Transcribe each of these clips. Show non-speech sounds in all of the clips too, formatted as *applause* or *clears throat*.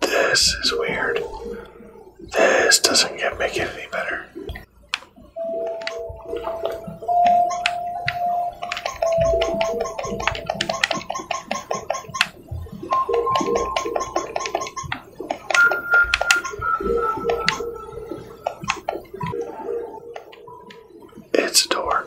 This is weird. This doesn't get make it any better. It's a door.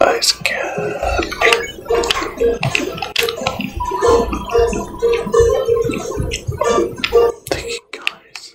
I cap. Thank you guys.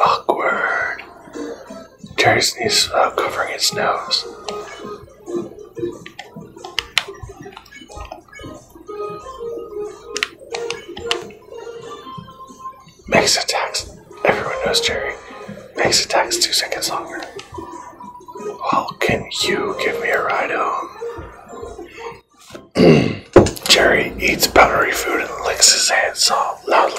Awkward. Jerry sneezed without uh, covering his nose. Makes attacks. Everyone knows Jerry. Makes attacks two seconds longer. Well, can you give me a ride home? *clears throat* Jerry eats powdery food and licks his hands off loudly.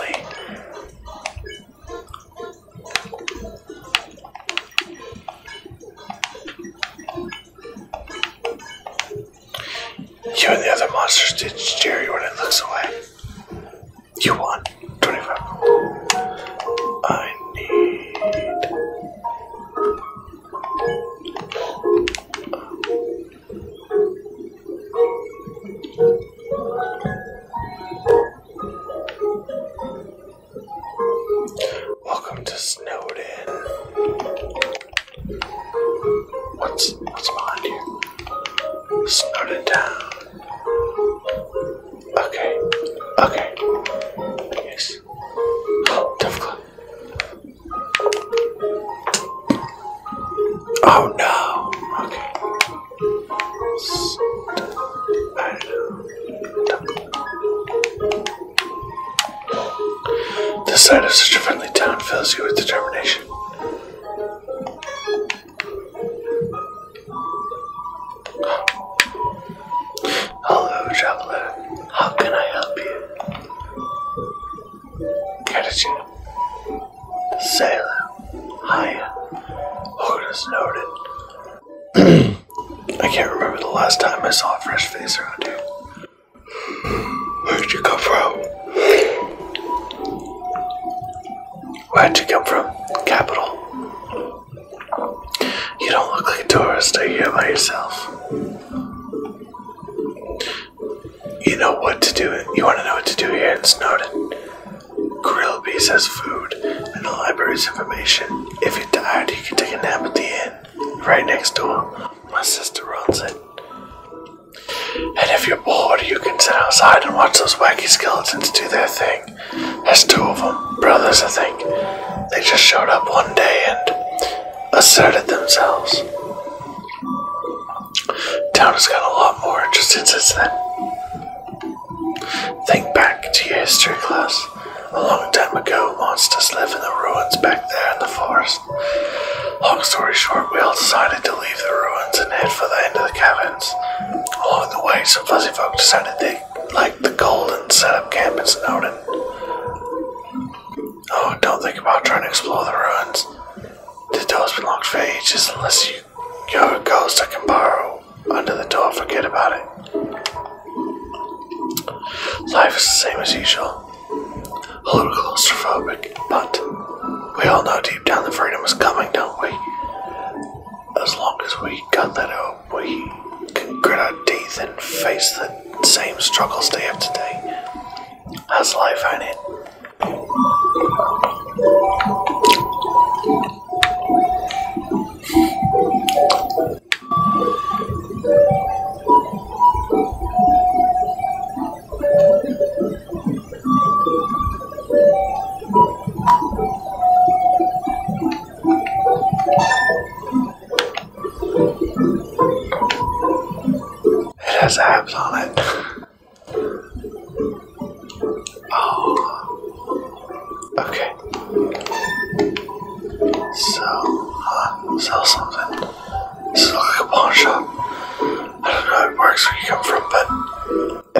You and the other monsters ditch Jerry when it looks away. You won. 25. I need. Welcome to Snowden. What's what's behind here? Snowden Town. Okay. Okay. Yes. Oh, tough Oh no. Okay. The sight of such a friendly town fills you with determination. Hello, traveler. How can I help you? Catachin. Sail. Hiya. Oda's noted. I can't remember the last time I saw a fresh face around here. Where'd you come from? Where'd you come from? Capital. You don't look like a tourist. Are you here by yourself? You know what to do. You want to know what to do here in Snowden. Grillby says food, and the library's information. If you are tired, you can take a nap at the inn, right next door. My sister runs it. And if you're bored, you can sit outside and watch those wacky skeletons do their thing. There's two of them, brothers, I think. They just showed up one day and asserted themselves. Town has got a lot more interesting since then. Think back to your history class. A long time ago, monsters lived in the ruins back there in the forest. Long story short, we all decided to leave the ruins and head for the end of the caverns. Along the way, some fuzzy folk decided they liked the cold and set up camp in Snowden. Oh, don't think about trying to explore the ruins. The doors been locked for ages unless you go a ghost I can borrow under the door, forget about it. Life is the same as usual. A little claustrophobic, but we all know deep down the freedom is coming, don't we? As long as we have got that hope, we can grit our teeth and face the same struggles day after day. That's life on it. It has abs on it. Oh. Okay. So, uh, sell something. It's like a pawn shop. I don't know how it works where you come from, but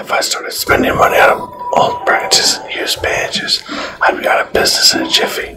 if I started spending money on old branches and used branches, I'd be out of business in a jiffy.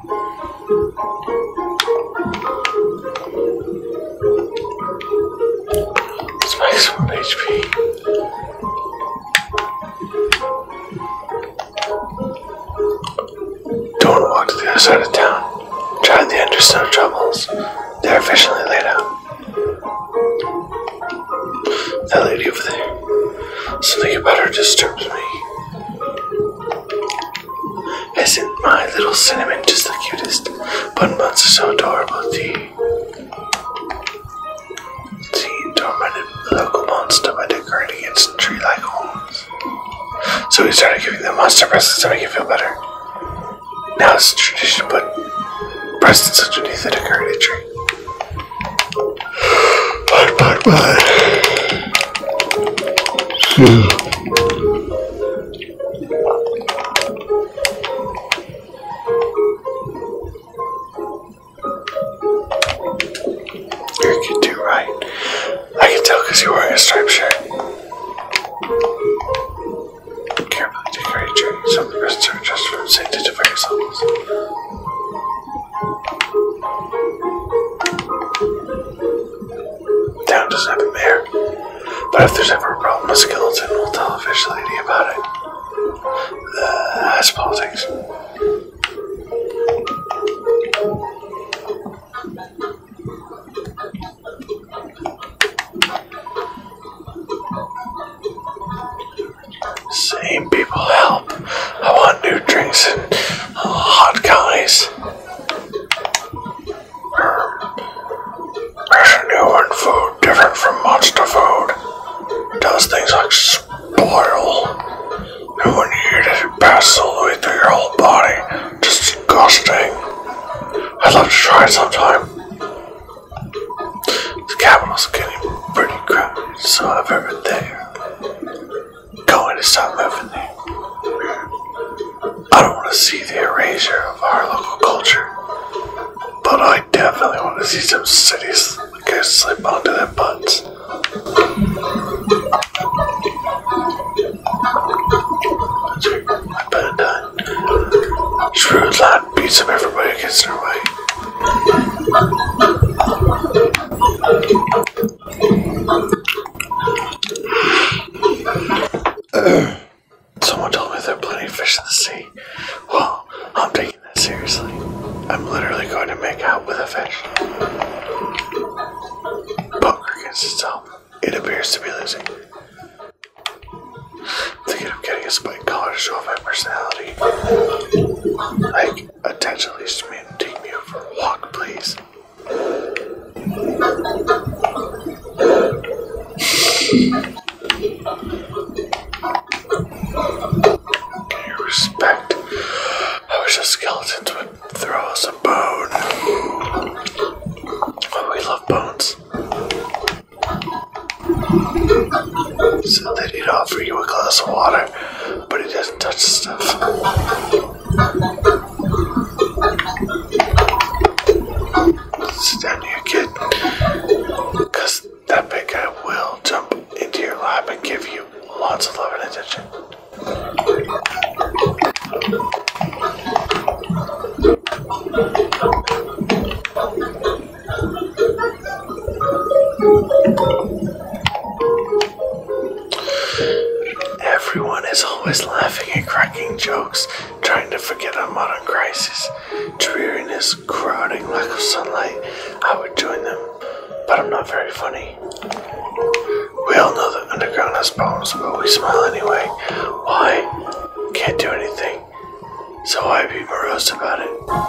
Space from HP. Don't walk to the other side of town. Try the undersnow troubles. They're officially laid out. That lady over there. Something about her disturbs me. Isn't my little cinnamon just the cutest? Bun buns are so adorable, tea. Tea tormented local monster by decorating its tree-like homes. So we started giving them monster presents to make it feel better. Now it's a tradition but presents underneath the decorated tree. Bye, bye, bye. Shoot. You can do right. I can tell because you're wearing a striped shirt. Carefully decorate your some of the rest are just from safety to various Town doesn't have a mayor, but if there's ever a problem with skeleton, we'll tell the fish lady about it. Uh, that's politics. Same people, help. I want new drinks and hot guys. Um, Russian new food different from monster food. It does things like spoil. And when you eat it, it passes all the way through your whole body. Just disgusting. I'd love to try it sometime. The capital's getting pretty crowded, so I've heard there. Going to stop living there. I don't want to see the erasure of our local culture, but I definitely want to see some cities go slip onto their butts. I better done. Shrewd beats up everybody gets in their way. Someone told me there are plenty of fish in the sea. Well, I'm taking that seriously. I'm literally going to make out with a fish. Bunker against itself. It appears to be losing. Thinking of getting a spiked collar to show off my personality. Like, Attention, policeman, take me for a walk, please. Can respect? I wish the skeletons would throw us a bone. Oh, we love bones. So they'd offer you a glass of water but he doesn't touch stuff. Sit down here, kid. Because that big guy will jump into your lap and give you lots of love and attention. Everyone is always laughing and cracking jokes, trying to forget our modern crisis. Dreariness, crowding, lack of sunlight. I would join them, but I'm not very funny. We all know the underground has problems, but we smile anyway. Why? Can't do anything. So why be morose about it?